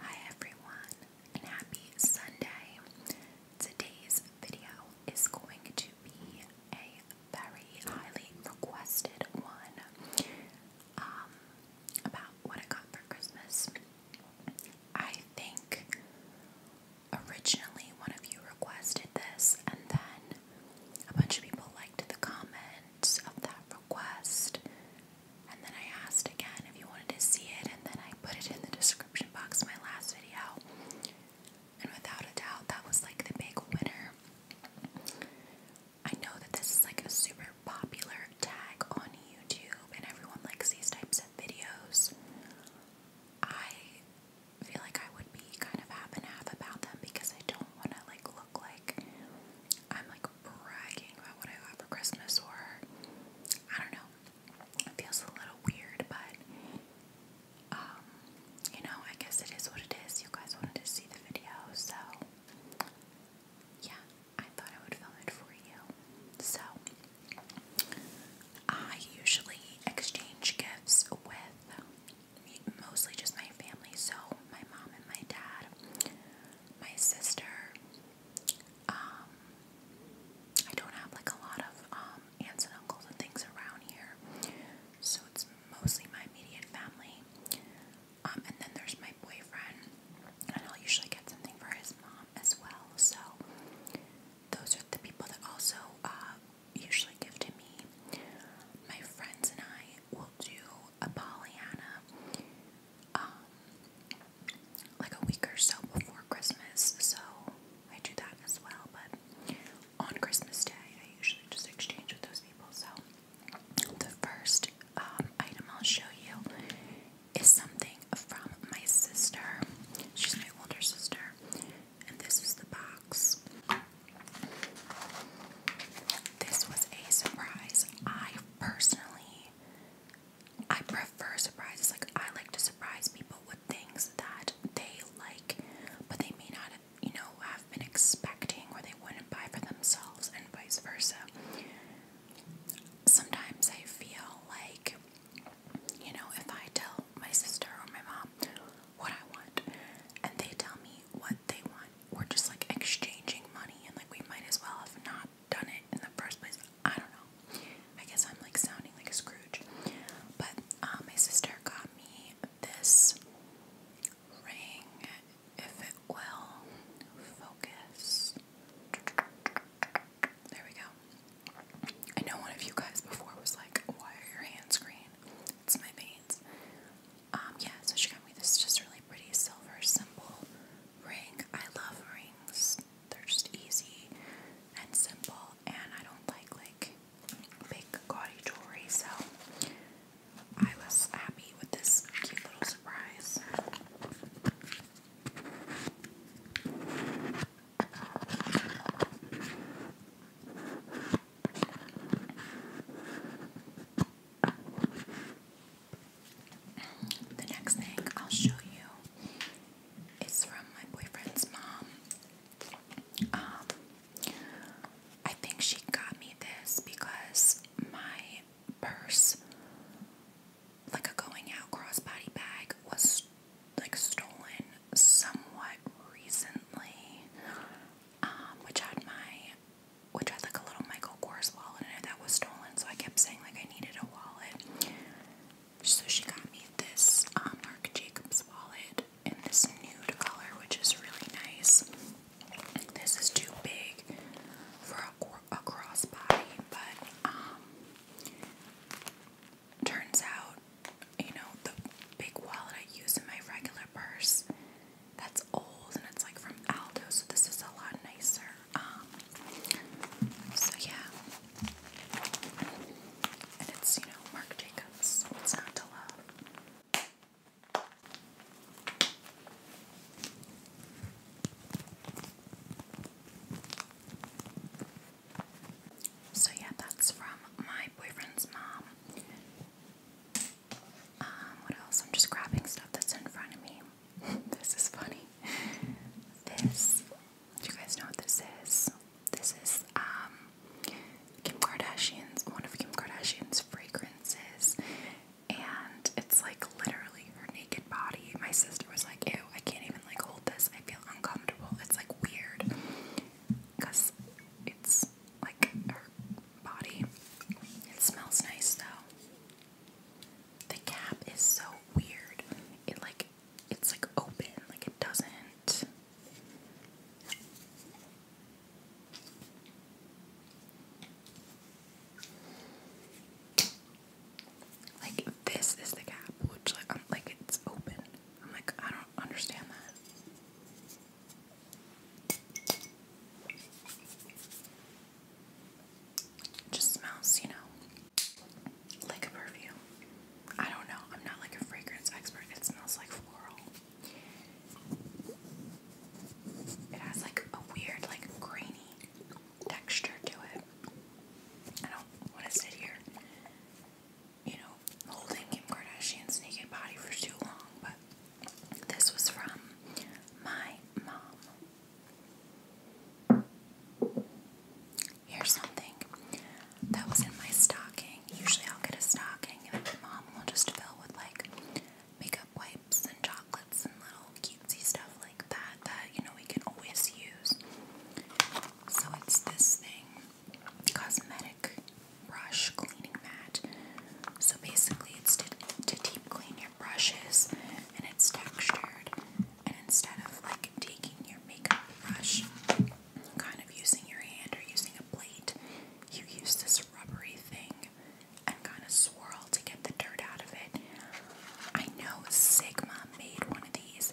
Hi everyone and happy Sunday. Today's video is going to be a very highly requested one um, about what I got for Christmas. I think originally one of you requested this and then a bunch of people liked the comments of that request and then I asked again if you wanted to see it, and then I put it in the description box of my last video. And without a doubt, that was like the big winner. I know that this is like a super popular tag on YouTube, and everyone likes these types of videos. I feel like I would be kind of half and half about them because I don't want to like look like I'm like bragging about what I got for Christmas, or I don't know. It feels a little weird, but um, you know, I guess it is what it is. You guys wanted to see the video, so yeah, I thought I would film it for you. So I usually exchange gifts with mostly just my family, so my mom and my dad, my sister, um, I don't have like a lot of um, aunts and uncles and things around here, so it's mostly my immediate family. Um, and then there's my boyfriend, and I'll usually get something for his mom as well. So those are the people that also uh, usually give to me. My friends and I will do a Pollyanna um, like a week or so before Christmas, so I do that as well. But on Christmas Day, I usually just exchange with those people. So the first um, item I'll show you is something from my sister. She's my older sister, and this is the box. This was a surprise. I personally I prefer surprises. Like I like to surprise people with things that they like, but they may not, you know, have been expecting or they wouldn't buy for themselves, and vice versa. Sometimes I feel like, you know, if I tell my sister or my mom what I want, and they tell me what they want, we're just like exchanging money, and like we might as well have not done it in the first place. I don't know. I guess I'm like sounding like Scrooge. But uh, my sister got me this ring, if it will focus. There we go. I know one of you guys before was like, why are your hands green? It's my veins. Um, yeah, so she got me this just really pretty silver symbol ring. I love rings. They're just easy and simple and I don't like like big gaudy jewelry so I was happy with this cute little surprise. The next thing I'll show you is from my boyfriend's mom. Um, I think she got me this because my purse, like a going out crossbody bag, was like stolen somewhat recently, um, which had my which had like a little Michael Kors wallet in it that was stolen. So I kept saying like I needed a wallet. So she got me this um, Marc Jacobs wallet in this nude color, which is really nice. This is too big for a, a crossbody, but um, turns out, you know, the big wallet I use in my regular purse, that's old and it's like from Aldo, so this is a lot nicer. Um, so yeah, and it's you know Marc Jacobs. What's not to love? So yeah, that's from my boyfriend's mom. Um, what else? I'm just grabbing stuff that's in front of me. this is funny. This, do you guys know what this is? This is um, Kim Kardashian's, one of Kim Kardashian's fragrances. And it's like literally her naked body. My sister was like, ew, I can't even like hold this. I feel uncomfortable. It's like weird. Because it's like her body. It smells nice though. The cap is so weird. It like it's like open, like it doesn't. Like this is the cap, which like like it's open. I'm like I don't understand that just smells, you know, like a perfume. I don't know. I'm not like a fragrance expert. It smells like floral. It has like a weird, like grainy texture to it. I don't want to sit here, you know, holding Kim Kardashian's naked body for too long, but this was from my mom. Here's something that was in my stocking. Usually I'll get a stocking and my mom will just fill with like makeup wipes and chocolates and little cutesy stuff like that that you know we can always use. So it's this thing. Cosmetic brush cleaning mat. So basically, it's to, deep clean your brushes and it's textured. And instead of like taking your makeup brush, kind of using your hand or using a plate, you use this rubbery thing and kind of swirl to get the dirt out of it. I know Sigma made one of these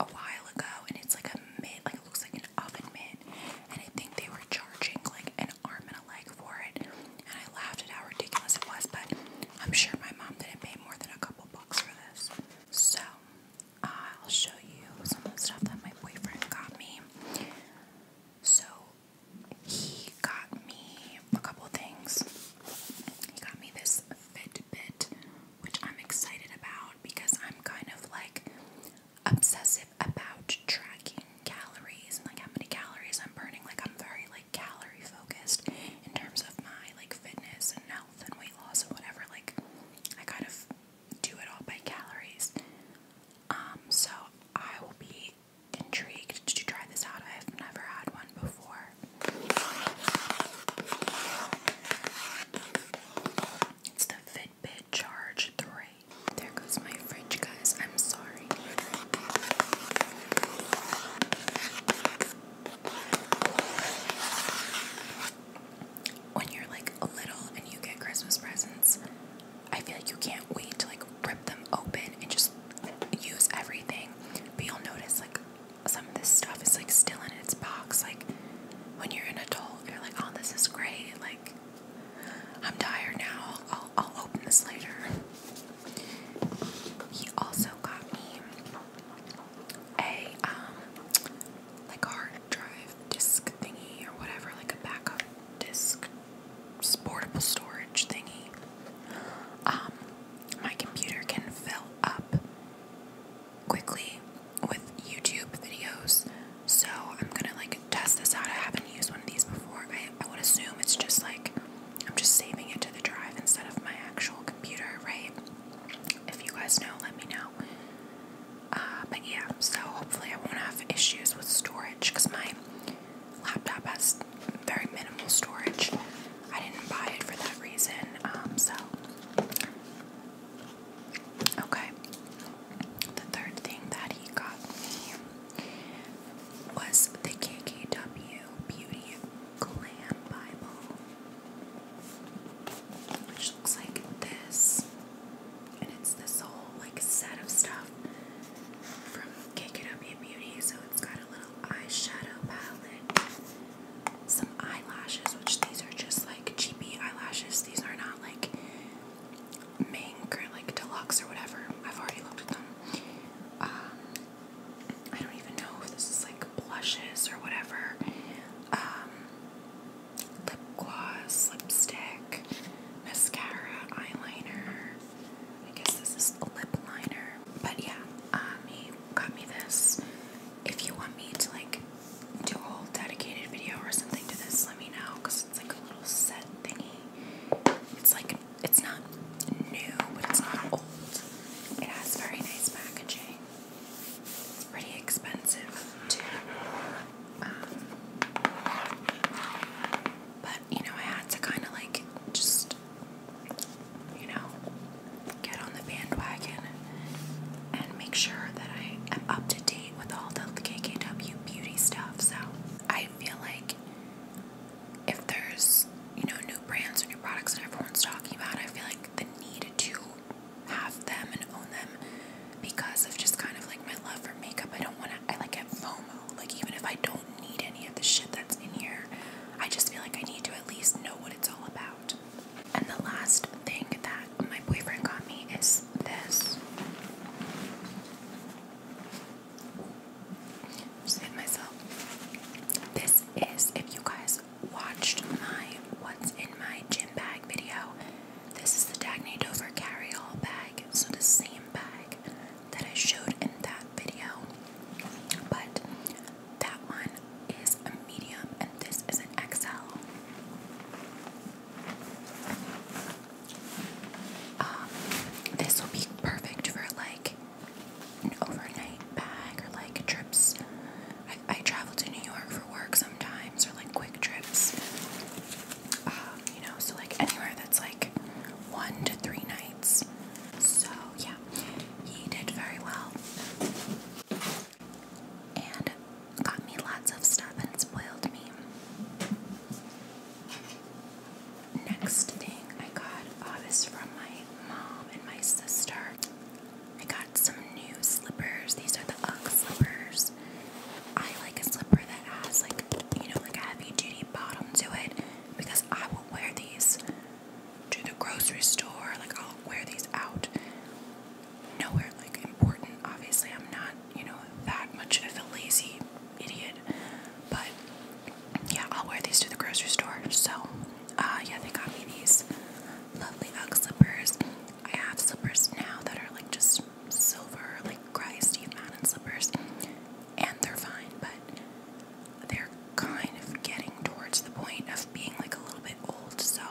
a while ago and it's like a mitt, like it looks like an oven mitt. And I think they were charging like an arm and a leg for it, and I laughed at how ridiculous it was. But I'm sure my mom didn't pay more than a couple bucks for this. So I'll show you some of the stuff that my boyfriend got me. So he got me a couple things. He got me this Fitbit, which I'm excited about because I'm kind of like obsessive about tracking calories and like how many calories I'm burning. Like I'm very like calorie focused in terms of my like fitness and health and weight loss and whatever. Like I kind of do it all by calories. Um, so I will be intrigued to try this out. I've never had one before. It's the Fitbit Charge 3. There goes my fridge, guys. I'm sorry. When you're like little and you get Christmas presents, I feel like you can't wait to like rip them open and just use everything. But you'll notice like some of this stuff is like still in its box. Like when you're an adult, you're like, oh, this is great. Like, I'm tired now. I'll, I'll open this later. He also got me a um, like hard drive disk thingy or whatever, like a backup disk portable storage thingy. Um, my computer can fill up quickly with YouTube videos. So I'm gonna like test this out. I haven't used one of these before. I would assume it's just like I'm just saving it to the drive instead of my actual computer, right? If you guys know, let me know. Uh, but yeah, so hopefully I won't have issues with storage because my laptop has very minimal storage. I didn't buy it for that reason. Um, so, okay. The third thing that he got me was the KKW Beauty Clan Bible, which looks like this. And it's this whole like set of stuff from KKW Beauty. So it's got a little eyeshadow palette, some eyelashes, which these are just like cheapy eyelashes. These are not like Mink or like Deluxe or whatever. I've already looked at them. Um, I don't even know if this is like blushes or whatever. Um, lip gloss, lipstick, mascara, eyeliner. I guess this is lip liner. But yeah, he uh, got me this. If you want me to like do a whole dedicated video or something to this, let me know because it's like a little set thingy. It's like it's not new, but it's not old. It has very nice packaging. It's pretty expensive too. Um, but you know, I had to kind of like just, you know, get on the bandwagon and make sure that I am up to date with all the KKW beauty stuff. So I feel like if there's, you know, new brands or new products that everyone's talking about, I feel like the need to have them and own them because of just kind of like my love for makeup. I don't want to, I like get FOMO. Like, even if I don't need any of the shit that's in here, I just feel like I need to at least know what it's all about. And the last thing that my boyfriend got me is this just myself. This is if you guys watched my what's in my gym bag video. This is the Dagny Dover carry-all bag. So the same bag that I showed in that video. But that one is a medium and this is an XL. Um, this will be perfect for like an overnight bag or like trips. I, travel to New York for work sometimes or like quick trips. Um, you know, so like anywhere that's like one to three nights. So yeah, he did very well. And got me lots of stuff and spoiled me. Next thing I got uh, from my mom and my sister. I got some new slippers. These are the UGG slippers. I like a slipper that has like you know like a heavy duty bottom to it because I will wear these to the grocery store. Like I'll wear these out. Nowhere like important. Obviously, I'm not you know, that much of a lazy idiot. But yeah, I'll wear these to the grocery store. So, uh, yeah, they got me these lovely Ugg slippers. I have slippers now that are like just silver, like Cry Steve Madden slippers, and they're fine, but they're kind of getting towards the point of being like a little bit old. So,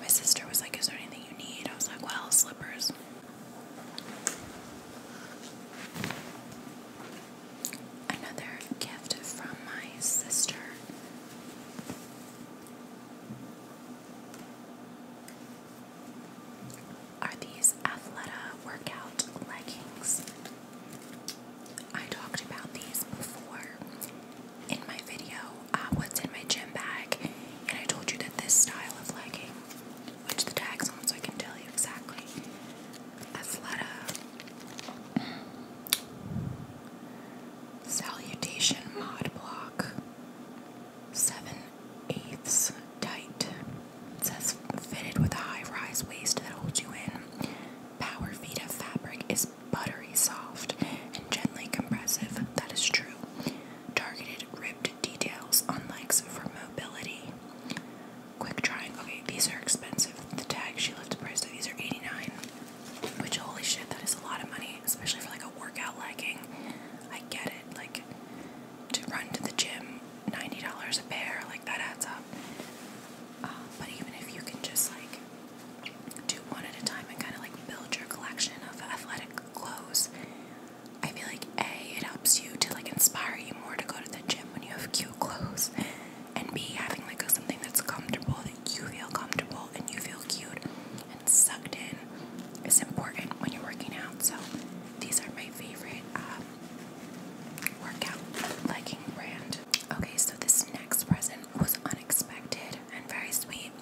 my sister was like, Is there anything you need? I was like, Well, slippers. Another gift from my sister. Are these Athleta workout leggings? I talked about these before in my video, uh, what's in my gym bag, and I told you that this style of legging which the tag's on so I can tell you exactly. Athleta. Salutation mod block. Seven eighths tight. It says fitted with a high-rise waist that holds you in. Power of fabric is buttery soft and gently compressive. That is true targeted ribbed details on legs for mobility. Quick trying. Okay, these are expensive. The tag she left the price tag. These are 89 Which holy shit, that is a lot of money, especially for like a workout legging. I get it. Like to run to the gym, ninety dollars a pair. Like that adds up. Uh, but even if you can just like do one at a time and kind of like build your collection of athletic clothes, I feel like A, it helps you to like inspire you more to go to the gym when you have cute clothes, and B, having like something that's comfortable that you feel comfortable and you feel cute and sucked in is important when you're working out. So these are my favorite um, workout legging brand. Okay, so this next present was unexpected and very sweet.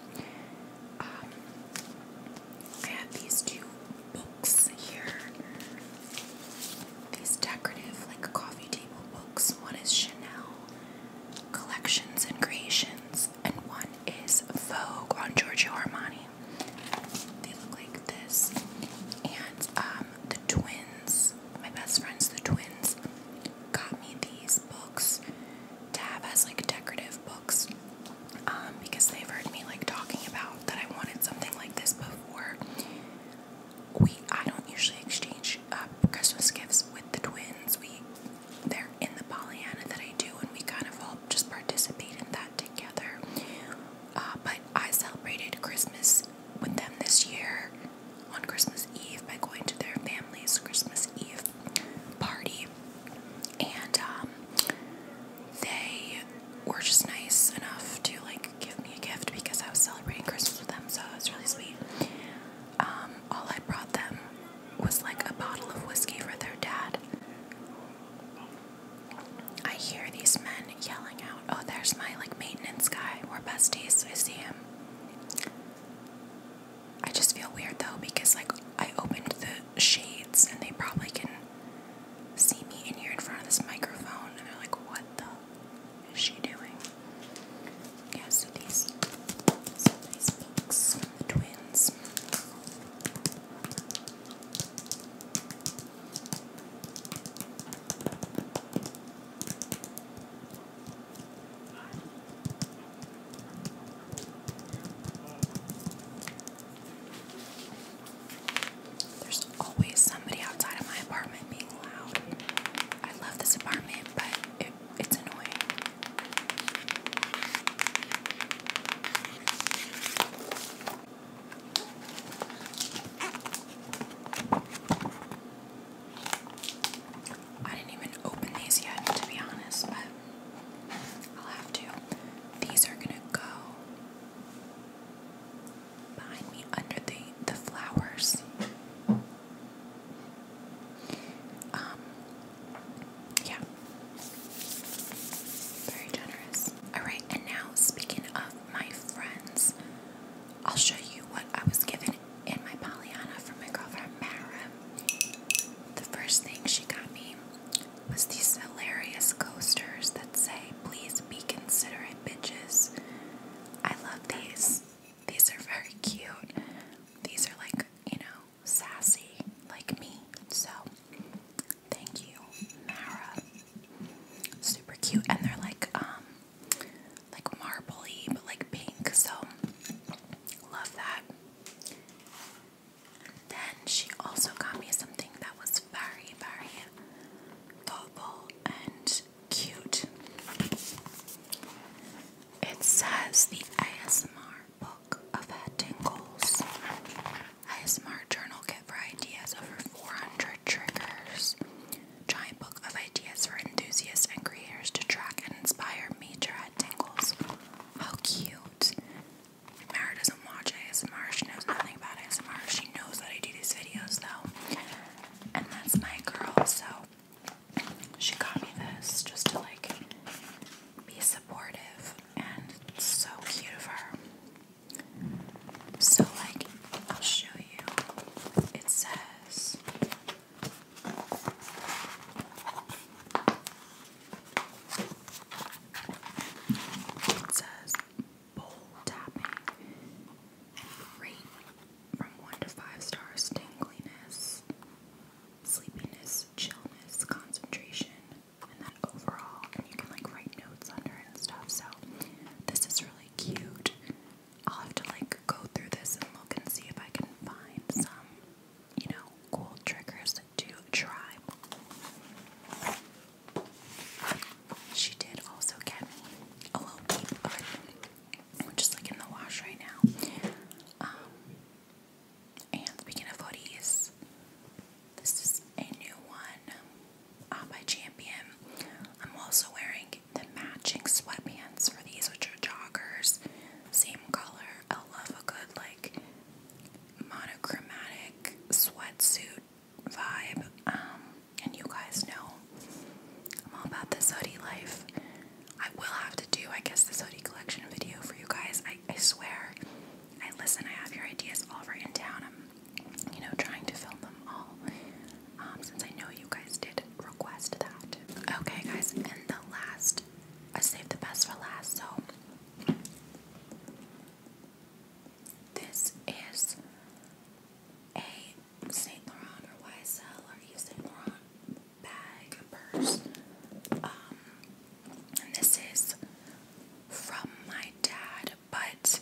Um, I have these two books here. These decorative, like coffee table books. One is Chanel Collections and Creations, and one is Vogue on Giorgio Armani. They look like this. And um, the twins, my best friends, the twins, got me these books. Tab has like decorative books. Um, because they've heard me like talking about that I wanted something like this before. We I don't usually exchange uh, Christmas gifts with the twins. We they're in the Pollyanna that I do, and we kind of all just participate in that together. Uh, but I celebrated Christmas with them this year on Christmas Eve by going to their family's Christmas Eve party and um, they were just nice enough to like give me a gift because I was celebrating Christmas with them, so it was really sweet. Um, all I brought them was like a bottle of whiskey for their dad. I hear these men yelling out, "Oh, there's my like maintenance guy. We're besties. I see him." I just feel weird though because like I opened the shades and they probably can see me in here in front of this microphone and they're like, what the is she doing? Yeah, so these, so these books from the twins. There's always somebody outside of my apartment being loud. I love this apartment, but it's annoying. I didn't even open these yet, to be honest, but I'll have to. These are gonna go behind me under the the flowers. Um yeah. Very generous. Alright, and now speaking of my friends, I'll show you what I was given in my Pollyanna from my girlfriend Mara. The first thing she got me was these hilarious coasters that say, please be considerate, bitches. I love these. These are very cute. These are like, you know, sassy, like me. So, thank you, Mara. Super cute. And they're like, um, like marbly, but like pink. So, love that. Then she also got me something that was very, very thoughtful and cute. It says the ASMR book of head ASMR journal kit for ideas over 400 triggers. Giant book of ideas for enthusiasts and creators to track and inspire major head tingles. How cute! Mara doesn't watch ASMR. She knows nothing about ASMR. She knows that I do these videos though. And that's my girl, so she got me this just to like be supportive and so cute of her. So like I'll show you. It says it says bowl tapping. Rate from 1 to 5 stars tingliness, sleepiness, chillness, concentration, and then overall. And you can like write notes under and stuff. So this is really cute. I'll have to like go through this and look and see if I can find some, you know, cool triggers to try. She did also get me a little peep of it, which is like in the wash right now. Um, and speaking of hoodies, this is a new one uh, by Champion. I'm also wearing the matching sweatpants for these, which are joggers, same color. I love a good like monochromatic sweatsuit vibe. Um, and you guys know I'm all about this hoodie life. I will have to do, I guess, this hoodie collection video for you guys. I, I swear. I listen, I have your ideas all written down. I'm, you know, trying to film them all um, since I know you guys did request that. Okay, guys, and the last, I saved the best for last, so this is a Saint Laurent or YSL or Yves Saint Laurent bag purse. Um, and this is from my dad, but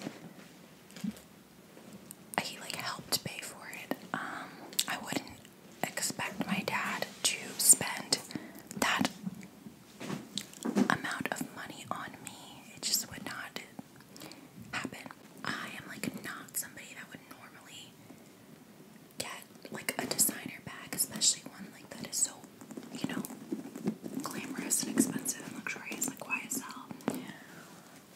he like helped pay for it. Um, I wouldn't expect my dad to spend that amount of money on me. It just would not happen. I am like not somebody that would normally get like a designer bag, especially one like that is so, you know, glamorous and expensive and luxurious like YSL.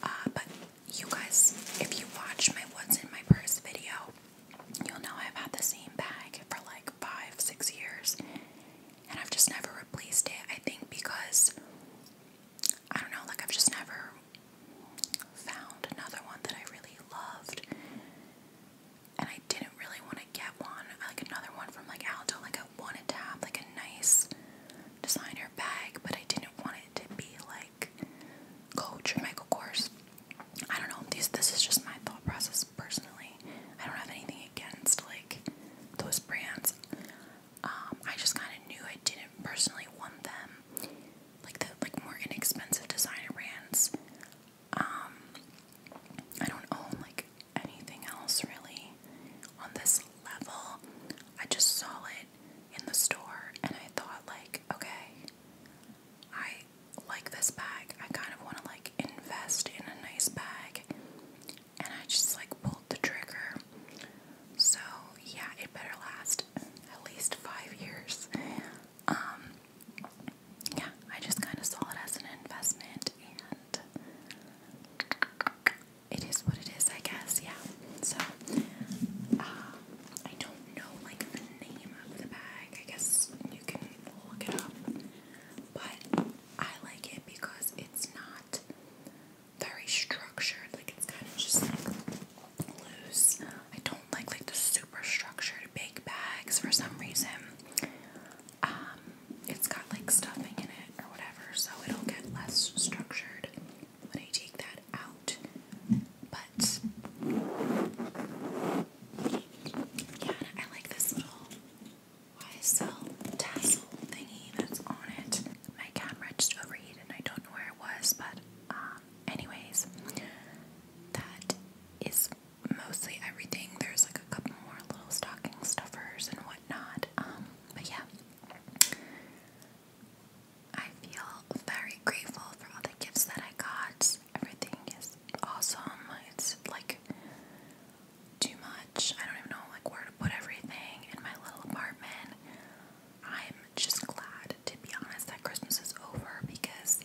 Uh, but you guys, if you watch my What's in My Purse video, You'll know I've had the same bag for like five, six years, and I've just never replaced it. I think because I don't know, like I've just never found another one that I really loved, and I didn't really want to get one like another one from like Aldo. Like I wanted to have like a nice designer bag, but I didn't want it to be like Coach or Michael Kors. I don't know. These this is just my thought process personally. I don't have anything against like those brands. Um, I just kind of knew I didn't personally want them, like the like more inexpensive designer brands. Um, I don't own like anything else really on this level. I just saw it in the store and I thought like, okay, I like this bag. I kind of want to like invest in a nice bag. And I just like pulled the trigger. So yeah, it better last at least five years. Um, yeah, I just kind of saw it as an investment and it is what it is, I guess, yeah. So uh, I don't know like the name of the bag. I guess you can look it up but I like it because it's not very structured. Like it's kind of just like loose. I don't like like the super structured big bags for some reason. Um, it's got like stuffing in it or whatever, so it'll get less structured when I take that out. But yeah, I like this little YSL tassel thingy that's on it. My camera just overheated I don't know where it was, but um, anyways, that is mostly everything. There's like a couple more little stocking stuffers and whatnot. Um, but yeah. I feel very grateful for all the gifts that I got. Everything is awesome. It's like too much. I don't even know like where to put everything in my little apartment. I'm just glad to be honest that Christmas is over because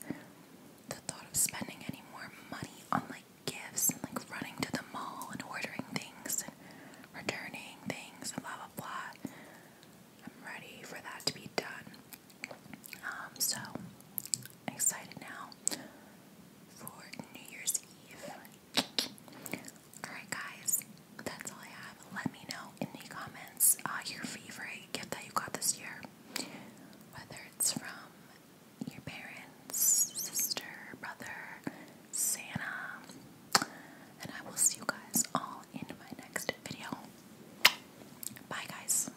the thought of spending any more money on like gifts and like running to the mall and ordering things and returning things and blah blah blah. I'm ready for that to be done. Um, so excited now for New Year's Eve. Alright, guys, that's all I have. Let me know in the comments uh, your favorite gift that you got this year, whether it's from your parents, sister, brother, Santa. And I will see you guys all in my next video. Bye, guys.